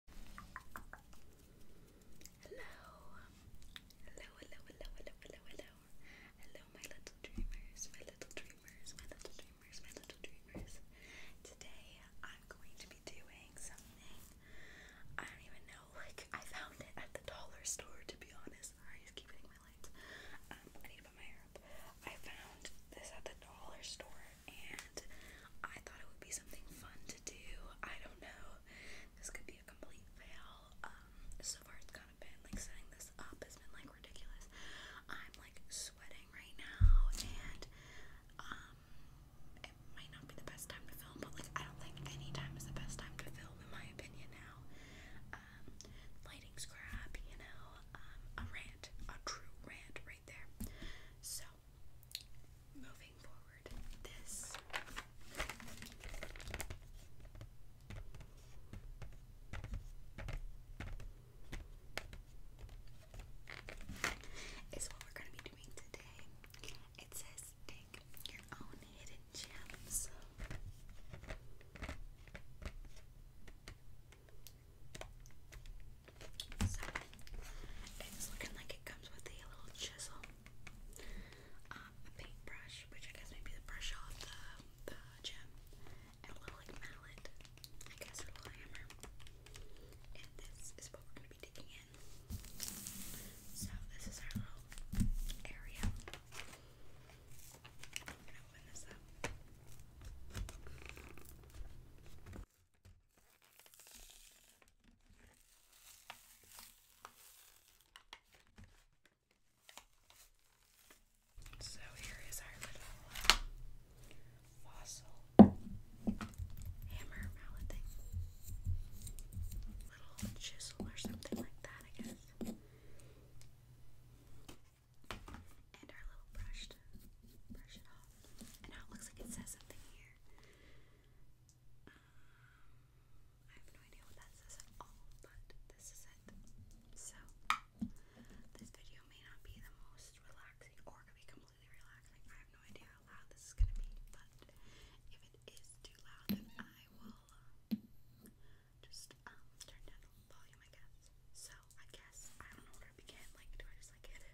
Hello, hello, hello, hello, hello, hello. Hello, my little dreamers, my little dreamers, my little dreamers, my little dreamers. Today I'm going to be doing something. I don't even know, like I found it at the dollar store to be honest. Sorry, I just my lights. I need to put my hair up. I found this at the dollar store and I thought it would be something fun to do. I don't know. This could be a complete fail. Um, so far it's kind of been like setting this up has been like ridiculous. I'm like sweating right now and um it might not be the best time to film, but like I don't think any time is the best time to film in my opinion now. Um, lighting's crap, you know. Um a rant, a true rant right there. So moving forward, this is what we're going to be doing today. It says dig your own hidden gems. So it's looking like it comes with a little chisel, um, a paintbrush, which I guess may be the brush off the, the gem, and a little mallet, I guess, a little hammer. And this is what we're gonna be digging in. So this is our little area. So here is our little fossil hammer mallet thing. Little chisel or something like that, I guess and our little brush brush it off. And now it looks like it says something here. Um, I have no idea what that says at all, but this is it. So, this video may not be the most relaxing or be completely relaxing. I have no idea how loud this is going to be, but if it is too loud, then I will uh, just um, turn down the volume, I guess. So, I guess I don't know where to begin. Like, do I just like hit it?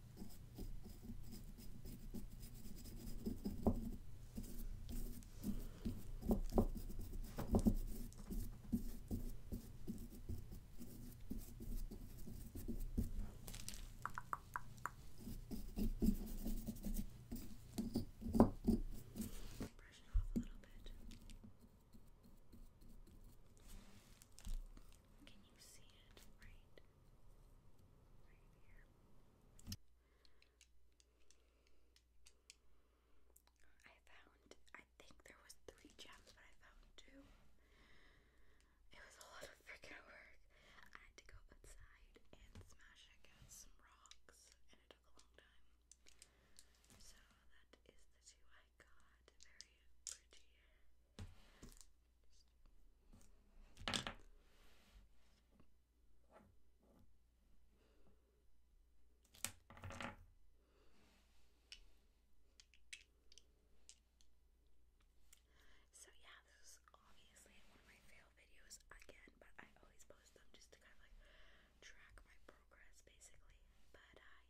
Brush it off a little bit. Can you see it right? I found, I think there was three gems, but I found two. It was a lot of freaking work. I had to go outside and smash against some rocks, and it took a long time. So that is the two I got. Very pretty. So yeah, this is obviously one of my fail videos again, but I always post them just to kind of like track my progress basically. But uh, yeah.